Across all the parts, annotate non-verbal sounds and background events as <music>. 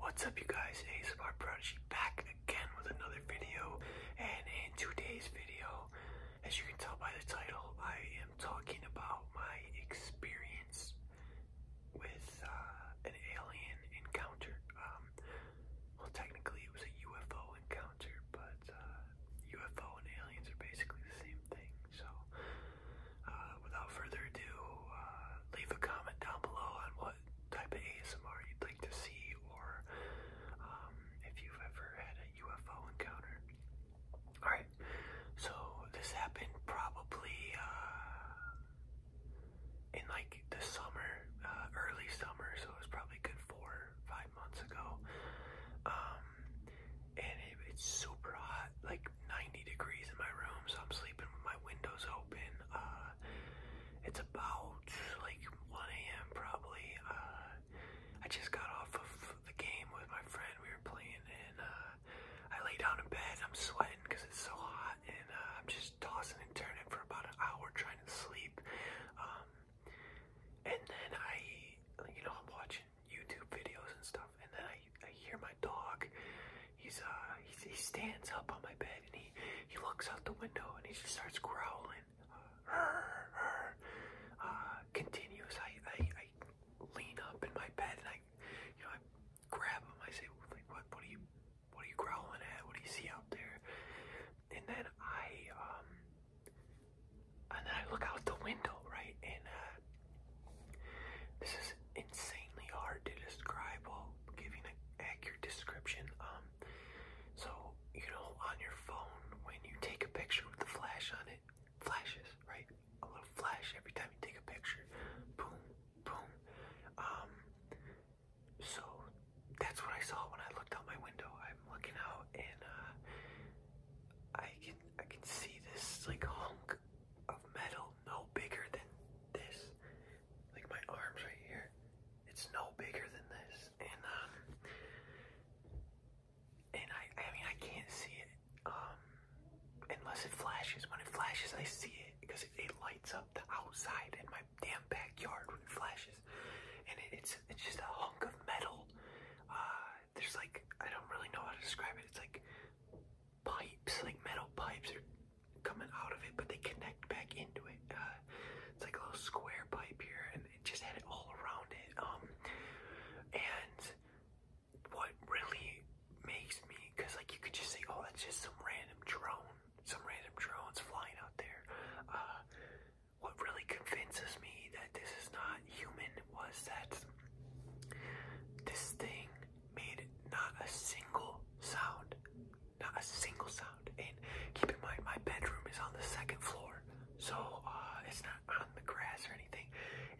What's up you guys, Ace of Our Prodigy back again with another video and in today's video, as you can tell by the title, I am talking about my experience with uh, an alien encounter. Um, well technically it was a UFO encounter, but UFO uh, and aliens are basically the same thing. So uh, without further ado, uh, leave a comment down below on what type of ASMR you'd like to see, or um, if you've ever had a UFO encounter. Alright, so this happened probably uh, in like the summer, early summer, so it was probably good four, five months ago. Um, and it's super hot like 90 degrees in my room, so I'm sleeping with my windows open. Uh, it's about like 1 a.m. probably. Uh, I just got off of the game with my friend. We were playing, and uh, I lay down in bed. I'm sweating because it's so hot, and I'm just tossing and turning for about an hour trying to sleep. Um, and then I, you know, I'm watching YouTube videos and stuff and then I, hear my dog. He's uh he stands up on my bed and he he looks out the window and he just starts growling, uh, I, I I lean up in my bed and I you know I grab him. I say like what what are you what are you growling at? What do you see out there? And then I um and then I look out the window right and uh, this is insanely hard to describe giving an accurate description. Um, so you know, on your phone, when you take a picture with the flash on it, flashes, right? A little flash every time you take a picture. Boom, boom. Um, so that's what I saw when I looked out my window. I'm looking out and uh, I can I can see this like hunk of metal no bigger than this. Like my arms right here, it's no bigger than this. And um, and I, I mean, I can't see it um unless it flashes. When it flashes, I see it because it, it lights up the outside in my damn backyard when it flashes. And it, it's it's just a hunk of metal. Uh, there's like I don't really know how to describe it. It's like pipes, like metal pipes or coming out of it, but they connect back into it. Uh, it's like a little square pipe here, and it just had it all around it. Um, and what really makes me, because like you could just say, oh, that's just some random drone, some random drones flying out there. Uh, what really convinces me that this is not human was that this thing made not a single sound. Not a single sound. And keep in mind, my bedroom is on the second floor. So uh, it's not on the grass or anything.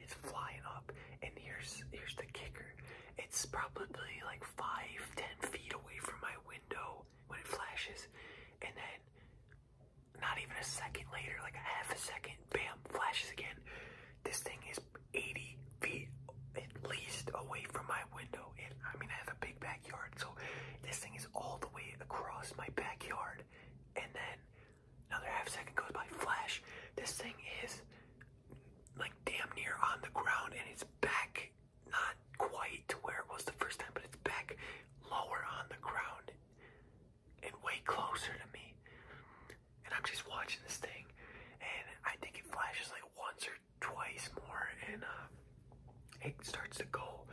It's flying up. And here's here's the kicker. It's probably like five, ten feet away from my window when it flashes. And then not even a second later, like a half a second, bam, flashes again. This thing is 80 feet at least away from my window. And I mean, I have a big backyard, so this thing is all the way across my backyard. And then another half second goes by, flash. This thing is like damn near on the ground and it's back, not quite to where it was the first time, but it's back lower on the ground and way closer to me and I'm just watching this thing, and I think it flashes like once or twice more, and uh, it starts to go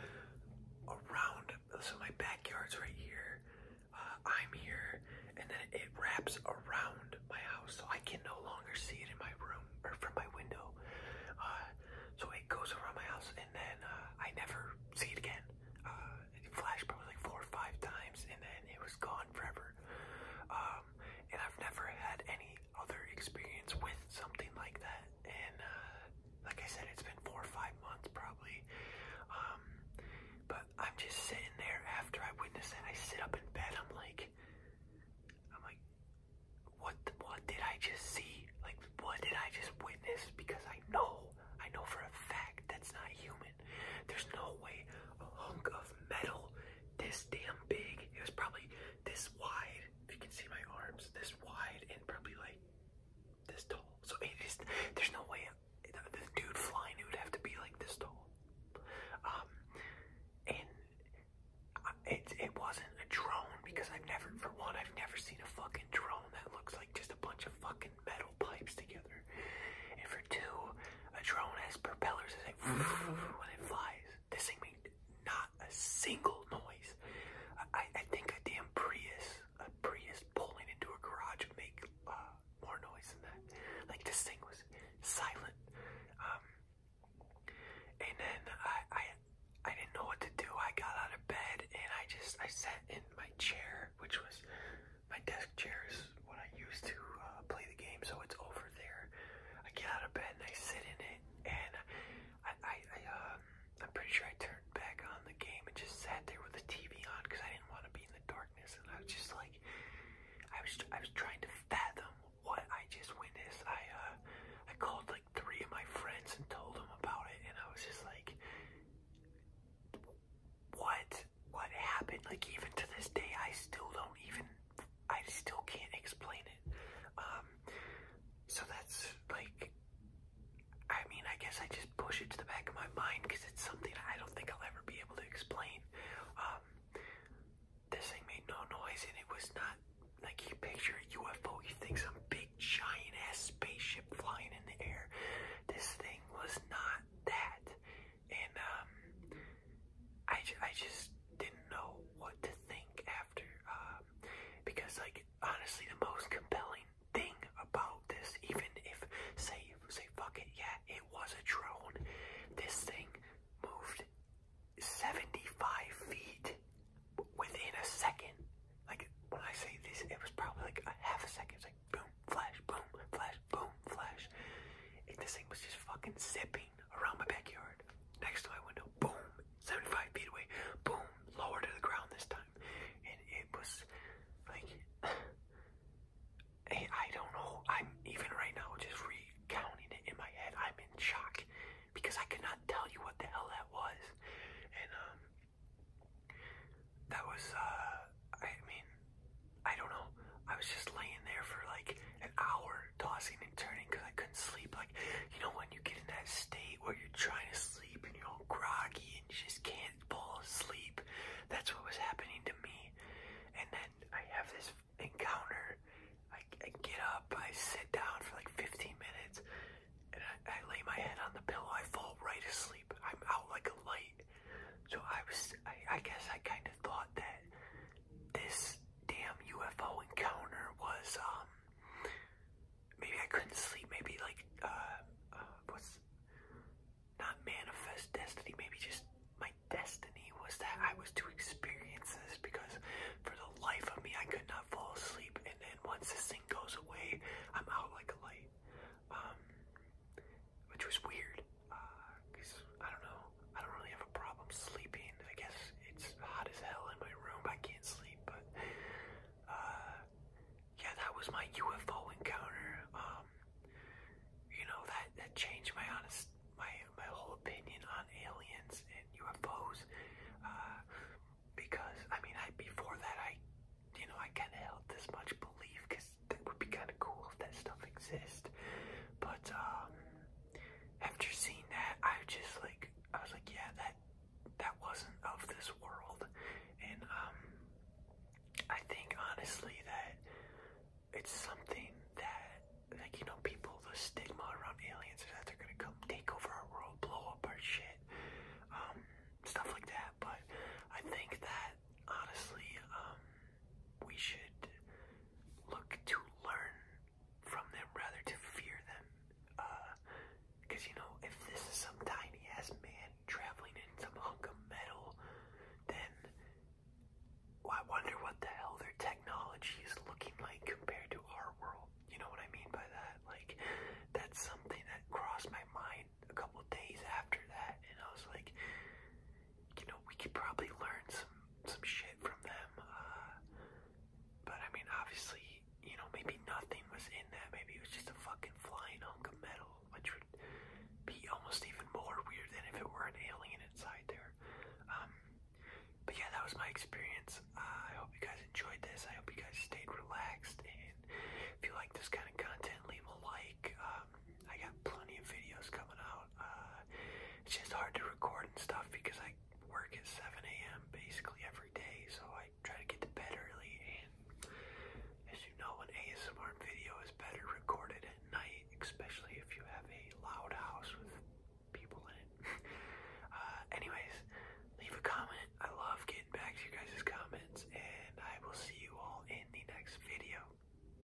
around. So my backyard's right here, uh, I'm here, and then it wraps around my house, so I can no longer see it in my room or from my window. Uh, so it goes around my house, and then uh, I never see it again. Uh, it flashed probably like four or five times, and then it was gone forever. Uh, and I've never had any other experience with something like that. And uh, like I said, it's been four or five months probably. Um, but I'm just sitting there after I witness it. I sit up in bed. I'm like, I'm like, what? what did I just see? Like, what did I just witness? Because I know, I know for a fact that's not human. There's no way a hunk of metal this damn big, it was probably this wide, if you can see my arms, this wide and probably like this tall. So it is, there's no way the, dude flying it would have to be like this tall. Um, and it, it wasn't a drone because I've never, for one, I've never seen a fucking drone that looks like just a bunch of fucking metal pipes together. And for two, a drone has propellers that like <laughs> when it flies. This thing made not a single noise. I, think a damn Prius, a Prius pulling into a garage make uh, more noise than that. Like this thing was silent. Um, and then I, I didn't know what to do. I got out of bed and I just I sat in my chair, which was my desk chair is what I used to uh, play the game, so it's over there. I get out of bed and I sit in it, and I, I, I um, I'm pretty sure I turned back on the game and just sat there with the TV on because I didn't want to be in the darkness, and I was just like, I was, I was trying to fathom what I just witnessed. I, uh, I called like three of my friends and told them about it, and I was just like, what? what happened. Like even to this day, I still don't even, I still can't explain it. Um, so that's like, I mean, I guess I just push it to the back of my mind because it's something I don't think I'll ever be able to explain. Um, this thing made no noise and it was not like you picture a UFO, you think some big giant ass spaceship flying in the air. This thing was not that and um, I, I just didn't know what to think after, um, because like honestly, the most compelling thing about this, even if say say fuck it, yeah, it was a drone, this thing moved 75 feet within a second. Like when I say this, it was probably like a half a second. like boom, flash, boom, flash, boom, flash. And this thing was just fucking zipping around my backyard, next to my window, boom, 75 feet away, boom, lower to the ground this time. And it was like, <sighs> I don't know, I'm even right now just recounting it in my head. I'm in shock because I could tell you what the hell that was. And, um, that was, uh, I mean, I don't know. I was just laying there for like an hour, tossing and turning because I couldn't sleep. Like, you know, when you get in that state where you're trying to sleep and you're all groggy and you just can't fall asleep, that's what was happening to me. And then I have this encounter. I, get up, I sit down for like 15 minutes, and I, lay my head on the pillow. I fall right asleep. I'm out like a light. So I was, I guess I kind of thought that this damn UFO encounter was um maybe I couldn't sleep, maybe like uh, was uh, what's not manifest destiny, maybe just my destiny was that I was to experience this because for the life of me I could not fall asleep and then once this thing goes away I'm out like a light. Um which was weird because I don't know. I don't really have a problem sleeping. I guess it's hot as hell in my room. I can't sleep, but uh, yeah, that was my UFO encounter. Um, you know that that changed my honest my my whole opinion on aliens and UFOs. Uh, because I mean, I before that I, you know, I can't held this much belief because that would be kind of cool if that stuff exists. But um, after seeing that, I just like I was like, yeah, that that wasn't of this world, and um, I think honestly that it's something that like you know people the stigma around aliens is that they're gonna come take over our world, blow up our shit, um, stuff like that. But I think that honestly um, we should look to learn from them rather to fear them because uh, you know if this is some tiny ass man traveling in some hunk of metal then I wonder what the hell their technology is looking like compared to our world you know what I mean by that like that's something that crossed my mind a couple days after that and I was like you know, we could probably learn some some shit from them. Uh, but I mean, obviously, you know, maybe nothing was in there Maybe it was just a fucking flying hunk of metal, which would be almost even more weird than if it were an alien inside there. Um, but yeah, that was my experience. Uh, I hope you guys enjoyed this. I hope you guys stayed relaxed. And if you like this kind of content, leave a like. Uh, I got plenty of videos coming out. Uh, it's just hard to record and stuff because I work at 7 a.m. basically every day, so I try to get to bed early. And as you know, an ASMR video is better recorded at night, especially if you have a loud house with people in it. <laughs> Uh, anyways, leave a comment. I love getting back to you guys's comments, and I will see you all in the next video.